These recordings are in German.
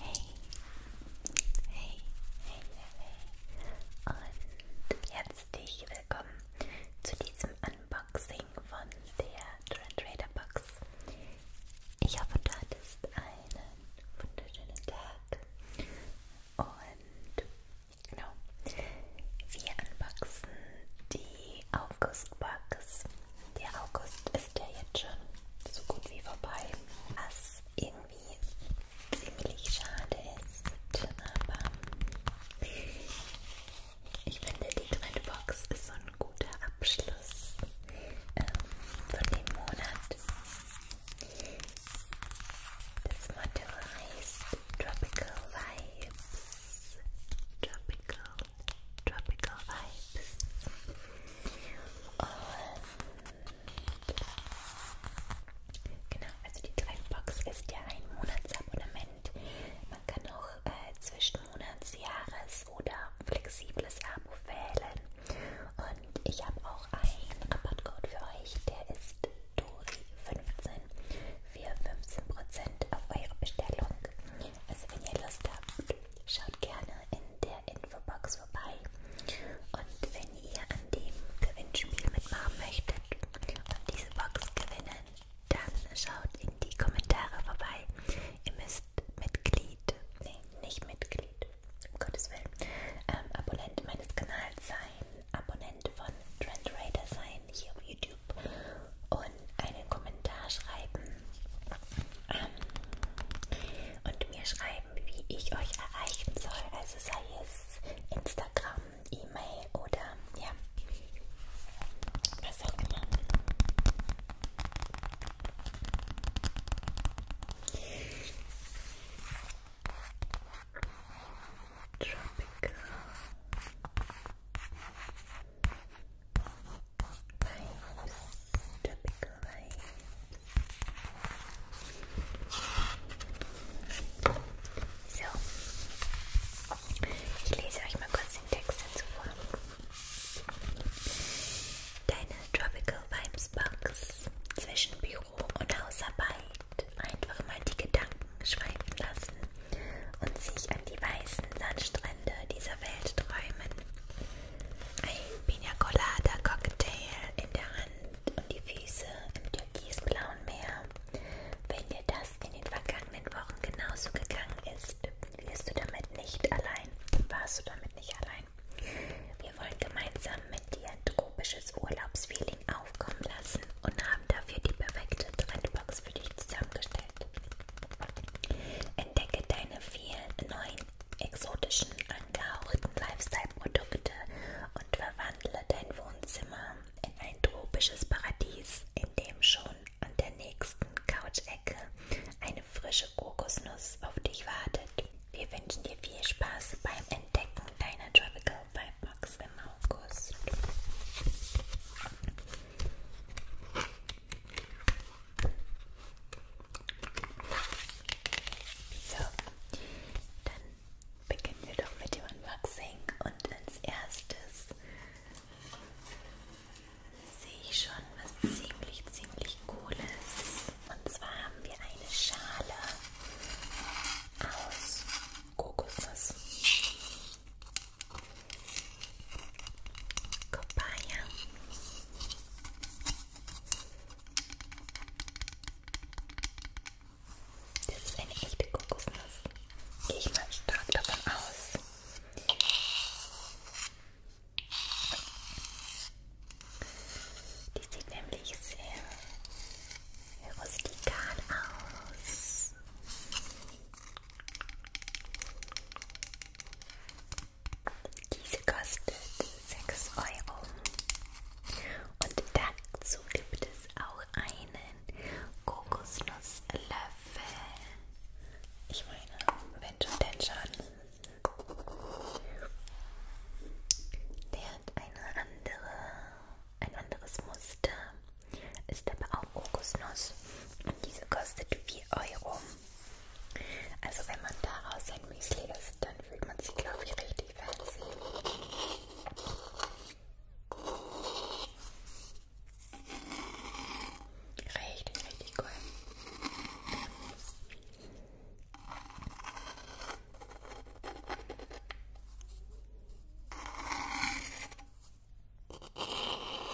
Hey, hey, hey, hey, und herzlich willkommen zu diesem Unboxing von der Trend Trader Box. Ich hoffe, du hattest einen wunderschönen Tag und genau, wir unboxen die August-Bugs. Der August ist ja jetzt schon so gut wie vorbei. Was irgendwie ziemlich schade ist. Aber ich finde, die kleine Box ist so ein guter Abschluss ähm, von dem Monat. Das Motto heißt Tropical Vibes. Tropical Tropical Vibes. Und genau, also die Trackbox ist ja ein Monatsabonnement. Man kann auch äh, zwischen Monats-, Jahres- oder flexibles Abo wählen. Und ich habe auch einen Rabattcode für euch, der ist DORI15 für 15% auf eure Bestellung. Also wenn ihr Lust habt, schaut gerne in der Infobox vorbei. Und wenn ihr an dem Gewinnspiel mitmachen möchtet und diese Box gewinnen, dann schaut in die Kommentare vorbei. Ihr müsst Mitglied, nee, nicht Mitglied, um Gottes Willen, ähm, Abonnent meines Kanals sein, Abonnent von Trend Raider sein, hier auf YouTube. Und einen Kommentar schreiben ähm, und mir schreiben, wie ich euch erreichen soll. Also sei es Instagram, E-Mail oder ja, was auch immer. Tropical Waves, tropical waves. So, ich lese euch mal kurz den Text dazu vor. Deine Tropical Vibes Box zwischen Büro und Hausarbeit einfach mal die Gedanken schreiben lassen und sich an die weißen Sandstrände dieser Welt träumen ein Pina Colada Cocktail in der Hand und die Füße im türkisblauen Meer. Wenn dir das in den vergangenen Wochen genauso gegangen ist, wirst du damit nicht allein. Warst du damit nicht allein? Wir wollen gemeinsam mit dir ein tropisches Urlaubsfeeling aufkommen lassen und haben dafür die perfekte Trendbox für dich zusammengestellt. Entdecke deine vielen neuen, exotischen, angehauchten Lifestyle-Produkte und verwandle dein Wohnzimmer in ein tropisches Paradies, in dem schon an der nächsten Couch-Ecke eine frische Kokosnuss auf dich wartet. Wir wünschen dir viel Spaß beim Entdecken deiner Tropical Vibe Box im August. So, dann beginnen wir doch mit dem Unboxing und als erstes sehe ich schon was ziemlich, ziemlich cooles. Und zwar haben wir eine Schale aus Kokosnuss. Kopaya. Das ist eine echte Kokosnuss. Gehe ich mal stark davon aus. Die sieht nämlich sehr rustikal aus. Diese kostet 6 Euro. Und dazu gibt es auch einen Kokosnusslöffel. Ich meine, wenn schon denn schon. Der hat eine andere, ein anderes Muster. Ist aber auch Kokosnuss. Und diese kostet 4 Euro. Also wenn man daraus ein Müsli isst, dann fühlt man sich, glaube ich, richtig fancy. Richtig, richtig cool.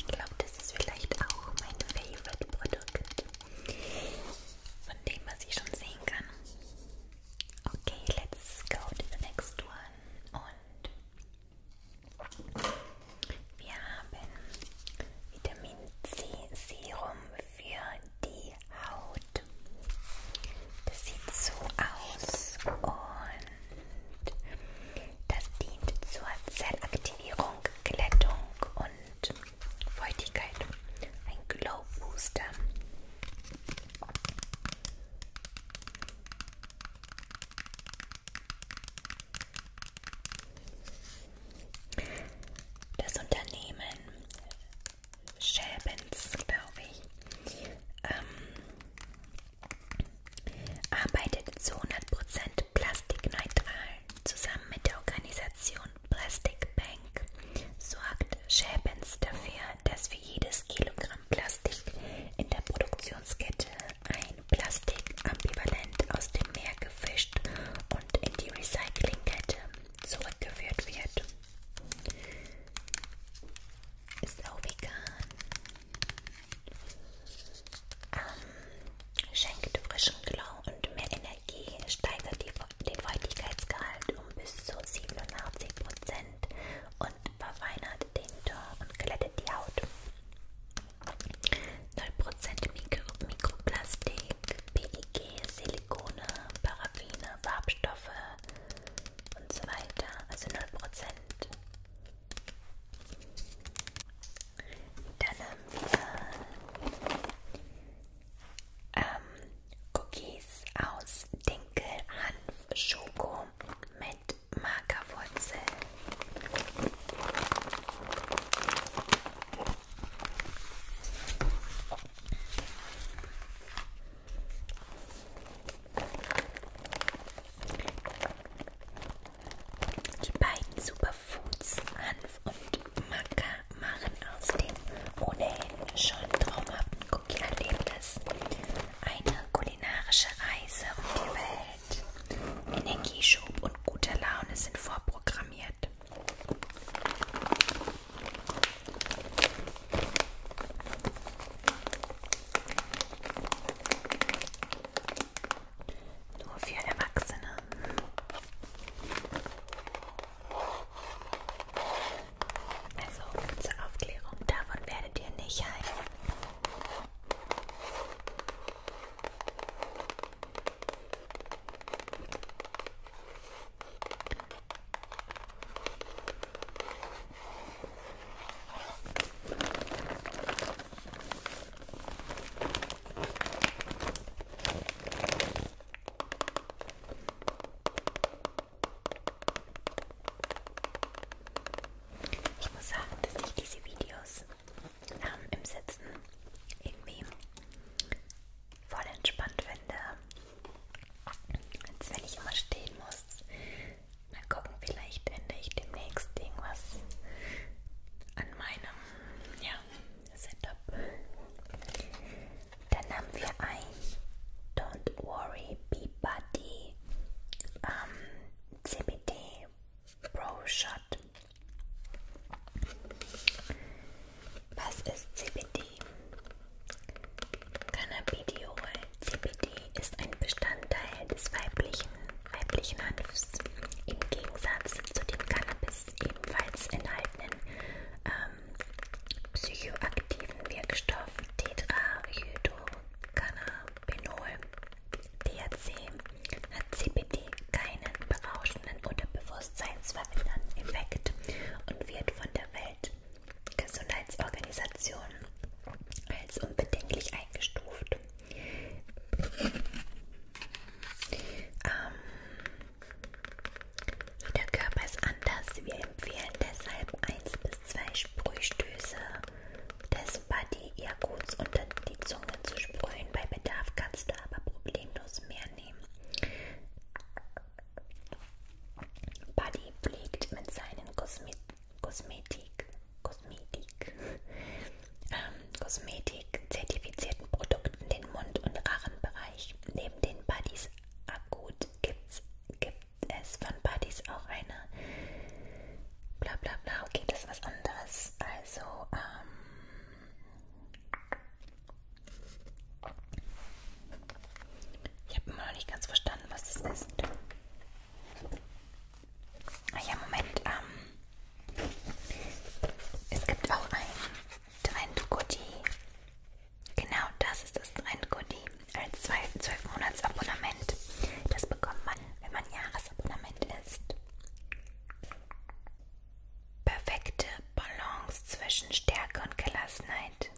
Ich glaube, das ist vielleicht auch mein Favorite Produkt, von dem was ich schon sehen kann. Okay, let's go to the next one. Und wir haben Vitamin C Serum für die Haut. Das sieht so aus und das dient zur Zellaktivierung, Glättung und Feuchtigkeit. Ein Glow Booster. Das Unternehmen Shelbens, glaube ich, ähm, arbeitet zu 100% plastikneutral zusammen mit der Organisation Plastic Bank, sorgt Schäbens dafür, dass für jedes Kilogramm Plastik in der Produktionskette ein Plastikambivalent aus dem Meer gefischt und in die Recyclingkette zurückgeführt wird. Ist auch vegan. Ähm, schenkt frischen Glow und mehr Energie, steigert die, den Feuchtigkeitsgehalt um bis zu 87% und verfeinert den Ton und glättet die Haut. 0% Mikro Mikroplastik, PEG, Silikone, Paraffine, Farbstoffe und so weiter. Also 0%. Dann haben wir ähm, Cookies aus Dinkel, Hanf, Schoko mit Magerwurzel. Die beiden Superfoods Hanf und Maca machen aus dem ohnehin schon traumhaften Cookie-Erlebnis eine kulinarische Reise um die Welt. Energieschub und gute Laune sind vorprogrammiert. Nur für Erwachsene. Also zur Aufklärung, davon werdet ihr nicht heilen. Ich muss sagen, dass ich diese Videos ähm, im Sitzen irgendwie voll entspannt finde, als wenn ich immer stehen muss Mal gucken, vielleicht ändere ich demnächst irgendwas an meinem ja, Setup. Dann haben wir ein Don't Worry Be Buddy ähm, CBD Pro Shot. Was ist CBD? Cannabidiol CBD ist ein Bestandteil des weiblichen weiblichen Hanfs im Gegensatz zu dem Cannabis ebenfalls enthaltenen ähm, psychoaktiven Wirkstoff Tetrahydrocannabinol (THC) hat CBD keinen berauschenden oder bewusstseinsverändernden Effekt und wird von der Weltgesundheitsorganisation als unbedenklich eingestuft. Ähm, jeder Körper ist anders. Wir empfehlen deshalb 1 bis 2 Sprühstöße des Body Erguts unter die Zunge zu sprühen. Bei Bedarf kannst du aber problemlos mehr nehmen. Buddy pflegt mit seinen Kosmet Kosmetik Kosmetik, ähm, Kosmetik, zertifizierten Produkten den Mund- und Rachenbereich. Neben den Buddies Akut gibt's, gibt es von Buddies auch eine bla bla bla. Okay, das ist was anderes. Also, ähm, ich habe immer noch nicht ganz verstanden, was das ist. Ah ja, Moment. Ähm, es gibt auch ein Trend Goodie. Genau, das ist das Trend Goodie. Als 12 Monats Abonnement. Das bekommt man, wenn man Jahresabonnement ist. Perfekte Balance zwischen Stärke und Gelassenheit.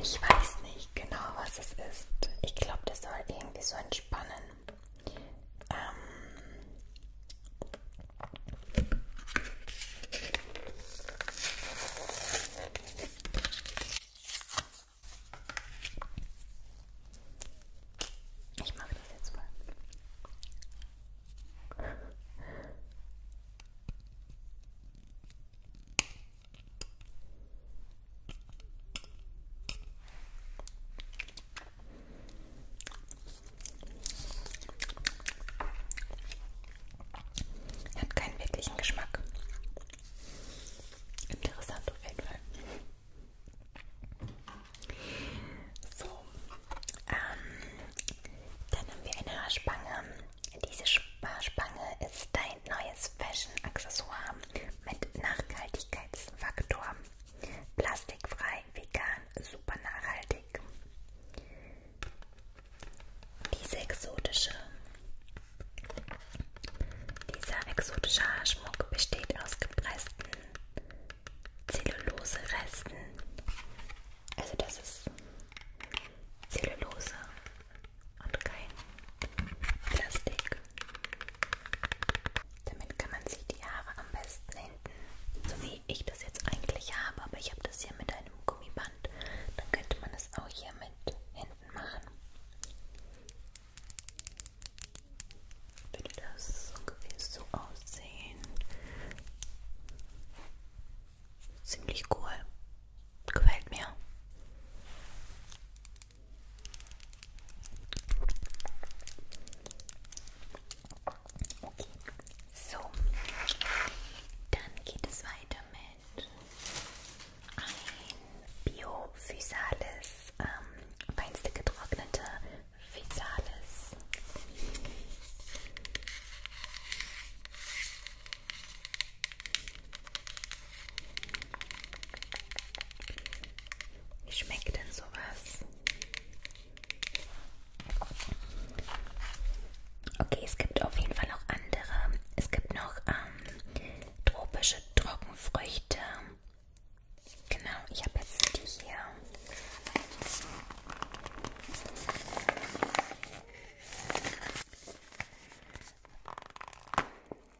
Ich weiß nicht nicht genau, was es ist. Ich glaube, das soll irgendwie so entspannen. Ähm ich mache das jetzt mal. Hat keinen wirklichen Geschmack. Interessant auf jeden Fall. So, ähm, dann haben wir eine Haarspange. Diese Sp Haarspange ist dein neues Fashion-Accessoire mit Nachhaltigkeitsfaktor. Plastikfrei, vegan, super nachhaltig. Diese exotische, dieser exotische Haarschmuck besteht aus gepressten Zellulose-Resten. Also das ist Zellulose und kein Plastik. Damit kann man sich die Haare am besten hinten, so wie ich das jetzt eigentlich habe, aber ich habe das hier mit einem Gummiband. Dann könnte man das auch hier mit hinten machen. Würde das ungefähr so aussehen. Ziemlich cool. Gefällt mir. So, dann geht es weiter mit ein Bio-Physalis, ähm, feinste getrocknete Physalis. Wie schmeckt denn sowas? Okay, es gibt auf jeden Fall noch andere. Es gibt noch ähm, tropische Trockenfrüchte. Genau, ich habe jetzt die hier.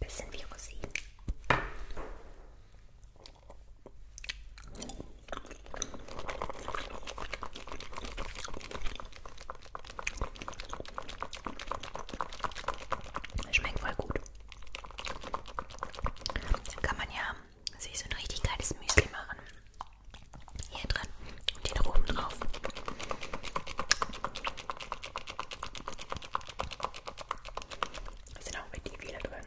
Bisschen wie Rosinen. Schmeckt voll gut. Dann kann man ja sich so ein richtig geiles Müsli machen. Hier drin und den oben drauf. Da sind auch richtig viele drin.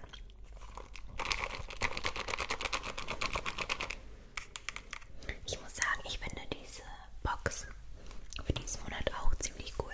Ich muss sagen, ich finde diese Box für diesen Monat auch ziemlich cool.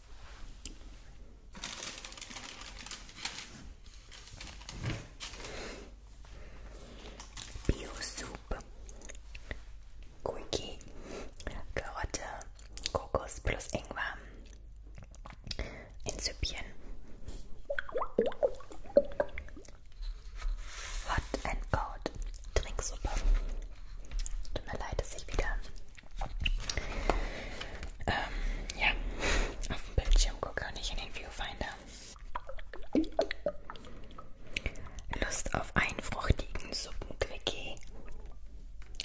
Bio-Soup. Quickie. Karotte, Kokos plus Ingwer. In Süppchen. Hot and Cold. Trinksuppe. Tut mir leid, dass ich wieder ähm, ja, auf dem Bildschirm gucke und nicht in den Viewfinder. Lust auf einen fruchtigen Suppenquickie.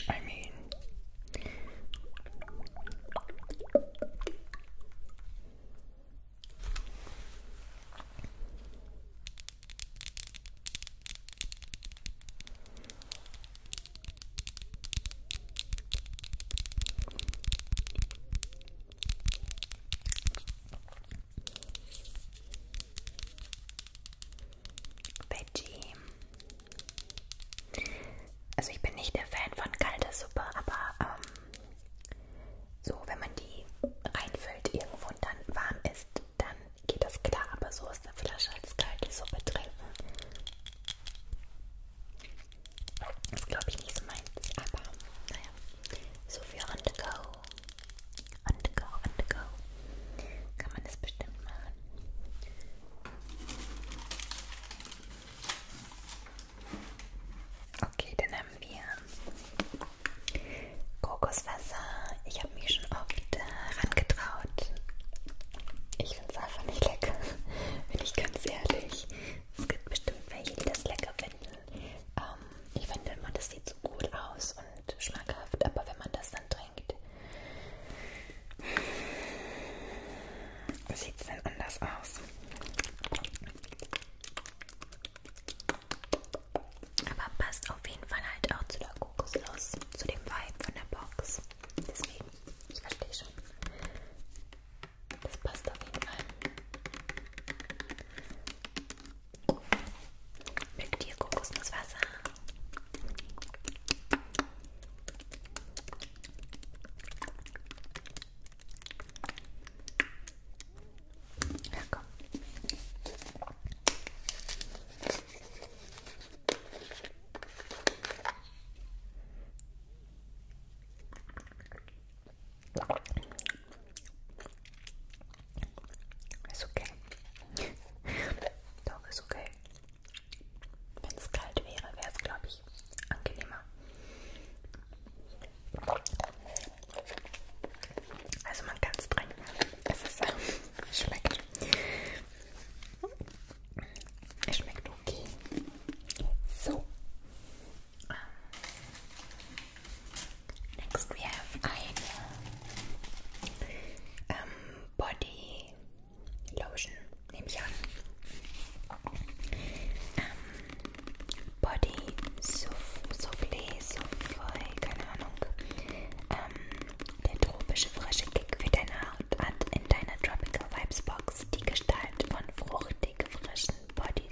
I mean. Veggie. Also ich bin nicht der Fan von kalter Suppe, aber ähm, so wenn man die reinfüllt irgendwo und dann warm ist, dann geht das klar, aber so aus der Flasche als kalte Suppe trinken. Das glaube ich nicht so meins, aber naja. So für on the go. On the go, on the go. Kann man das bestimmt machen. Okay, dann haben wir Kokoswasser. Ich habe habe mich schon oft äh, rangetraut. Ich finde es einfach nicht lecker, bin ich ganz ehrlich. Es gibt bestimmt welche, die das lecker finden. Ähm, ich finde immer, das sieht so gut aus und schmackhaft, aber wenn man das dann trinkt, sieht es dann anders aus. Aber passt auf jeden Fall halt auch zu der fokuslos zu dem Vibe von der Box. Deswegen, ich verstehe schon. Das passt auf jeden Fall. Mit dir Kokosnusswasser. Ja, komm. Ist okay. Doch, ist okay. Wenn es kalt wäre, wäre es, glaube ich, angenehmer. Also man kann es trinken. Es ist, äh, schmeckt. Es schmeckt okay. So. Um, ähm, next we have eine um, ähm, Body Lotion, nehme ich an. Um, ähm, Body Soufflé, Soufflé, keine Ahnung. Um, der tropische frische Kick für deine Haare. Haut hat in deiner Tropical Vibes Box die Gestalt von fruchtig frischen Body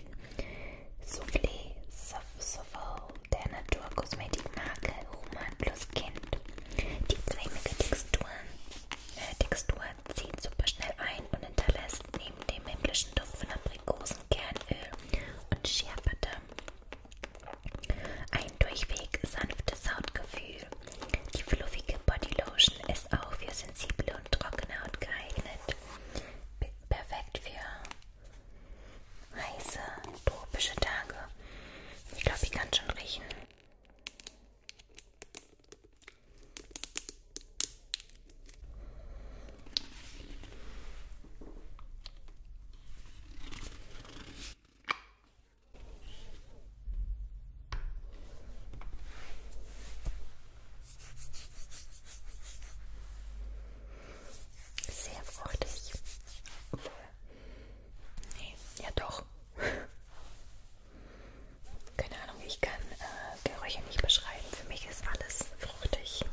Soufflé Souffle der Naturkosmetikmarke Human plus Kind. Die cremige Textur, äh, Textur zieht super schnell ein und hinterlässt neben dem himmlischen Duft von Aprikosen, Kernöl und Schärfete ein durchweg sanftes Hautgefühl. Die fluffige Bodylotion ist auch für sensible und trockene Haut geeignet. Perfekt für heiße, tropische Tage. Ich glaube, ich kann schon riechen. Sehr fruchtig. Obwohl. Nee, ja doch. Keine Ahnung, ich kann äh, Gerüche nicht beschreiben. Für mich ist alles fruchtig.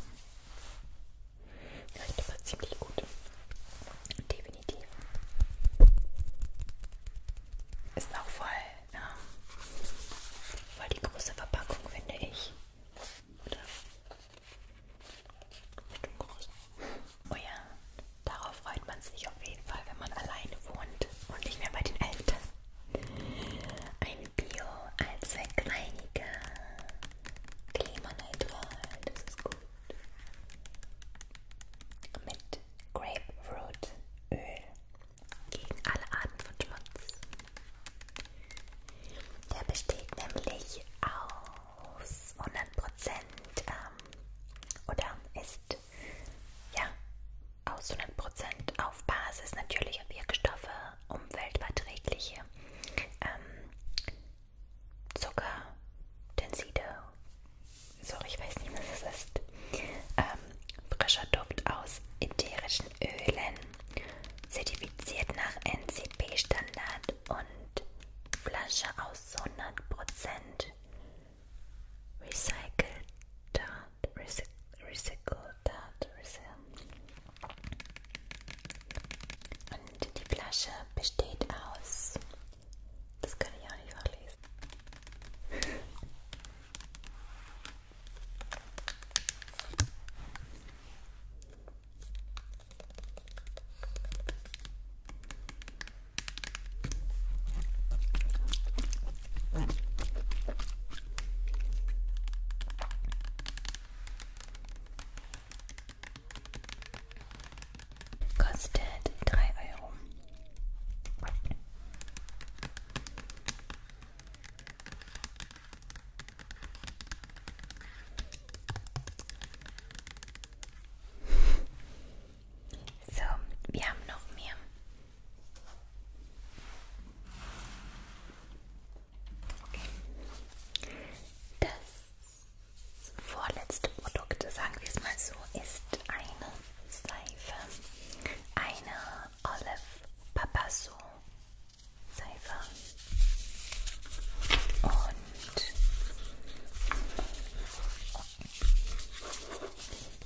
Riecht aber ziemlich gut. Definitiv definitiv. Ist auch voll, ähm, voll die große Verpackung, finde ich. Oder? Bestimmt groß. Oh ja, darauf freut man sich auf jeden Fall, wenn man alleine wohnt und nicht mehr bei den Eltern. Ein Bio als Reiniger. Klimaneutral, das ist gut. Mit Grapefruit Öl gegen alle Arten von Schmutz. Der besteht nämlich aus 100% ähm, oder ist ja aus 100% auf Basis natürlicher Wirkstoffe, umweltverträgliche ähm, Zucker, Tenside sorry, ich weiß nicht, was es ist. Ähm, frischer Duft aus ätherischen Ölen, zertifiziert nach NCP-Standard und Flasche aus 100% recycelter, recycelter, und die Flasche besteht aus das kann ich auch nicht vorlesen. Kostet 3 Euro. So, wir haben noch mehr. Das vorletzte Produkt, sagen wir es mal so, ist eine Seife. Eine Olive Papasso Seife.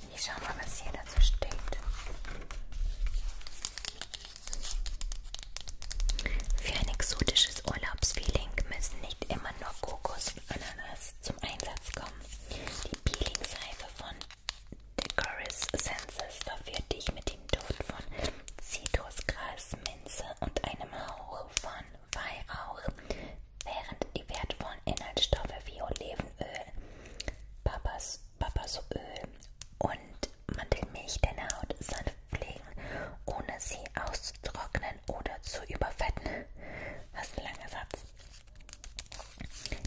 Und ich schaue mal, was hier dazu steht. Für ein exotisches Urlaubsfeeling müssen nicht immer nur Kokos und Ananas zum Einsatz kommen. Die Peelingseife von Decoris Senses verführt dich mit dem Duft von Zitrusgras, Minze und einem Hauch von Weihrauch, während die wertvollen Inhaltsstoffe wie Olivenöl, Papas, Papasöl und Mandelmilch deine Haut sanft pflegen, ohne sie auszutrocknen oder zu überfetten. Was ein langer Satz.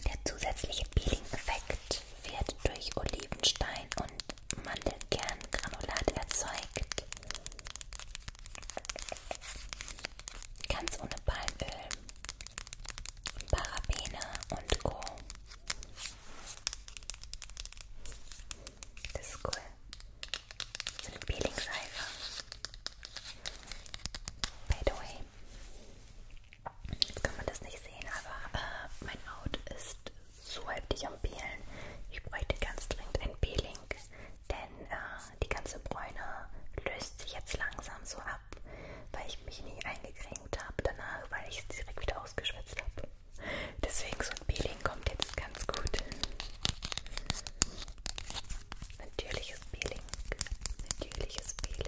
Der zusätzliche Peeling-Effekt wird durch Olivenstein und Mandelkerngranulat erzeugt. Ganz ohne Palmöl, Parabene und Co. Das ist cool. So eine Peeling-Seife. By the way, jetzt kann man das nicht sehen, aber äh, mein Out ist so heftig am Peelen. Ich bräuchte ganz dringend ein Peeling, denn äh, die ganze Bräune löst sich jetzt langsam so ab, weil ich mich nie eingecremt habe danach, weil ich es direkt wieder ausgeschwitzt habe. Deswegen so ein Peeling kommt jetzt ganz gut. Natürliches Peeling. Natürliches Peeling.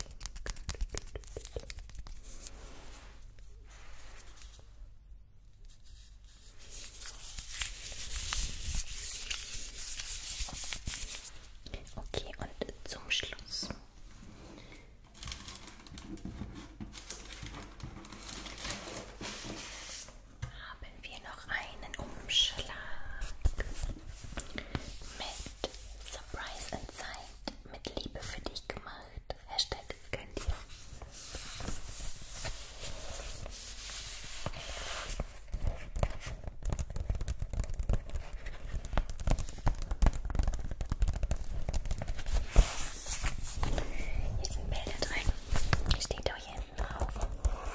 Okay, und zum Schluss haben wir noch einen Umschlag mit Surprise and Zeit mit Liebe für dich gemacht. Hashtag könnt ihr. Hier sind Bilder drin. Steht auch hier hinten drauf.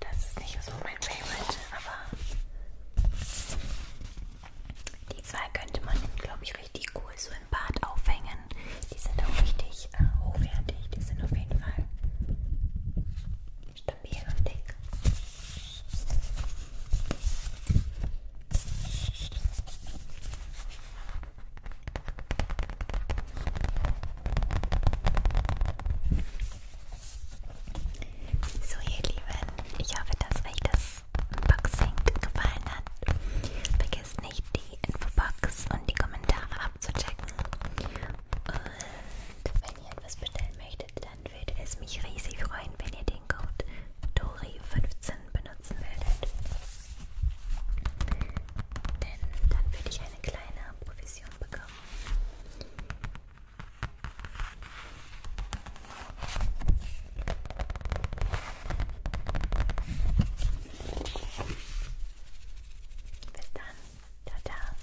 Das ist nicht so mein Favorite, aber die zwei könnte man, glaube ich, richtig cool so im Bad aufhängen. Die sind auch richtig äh, hochwertig, die sind auf jeden Fall stabil und dick. So ihr Lieben, ich hoffe, dass euch das Unboxing gefallen hat. Vergesst nicht die Infobox und die Kommentare abzuchecken. Und wenn ihr etwas bestellen möchtet, möchtet, dann würde es mich riesig freuen, wenn ihr den Code DORI15 benutzen würdet. Denn dann würde ich eine kleine Provision bekommen. Bis dann. Tada.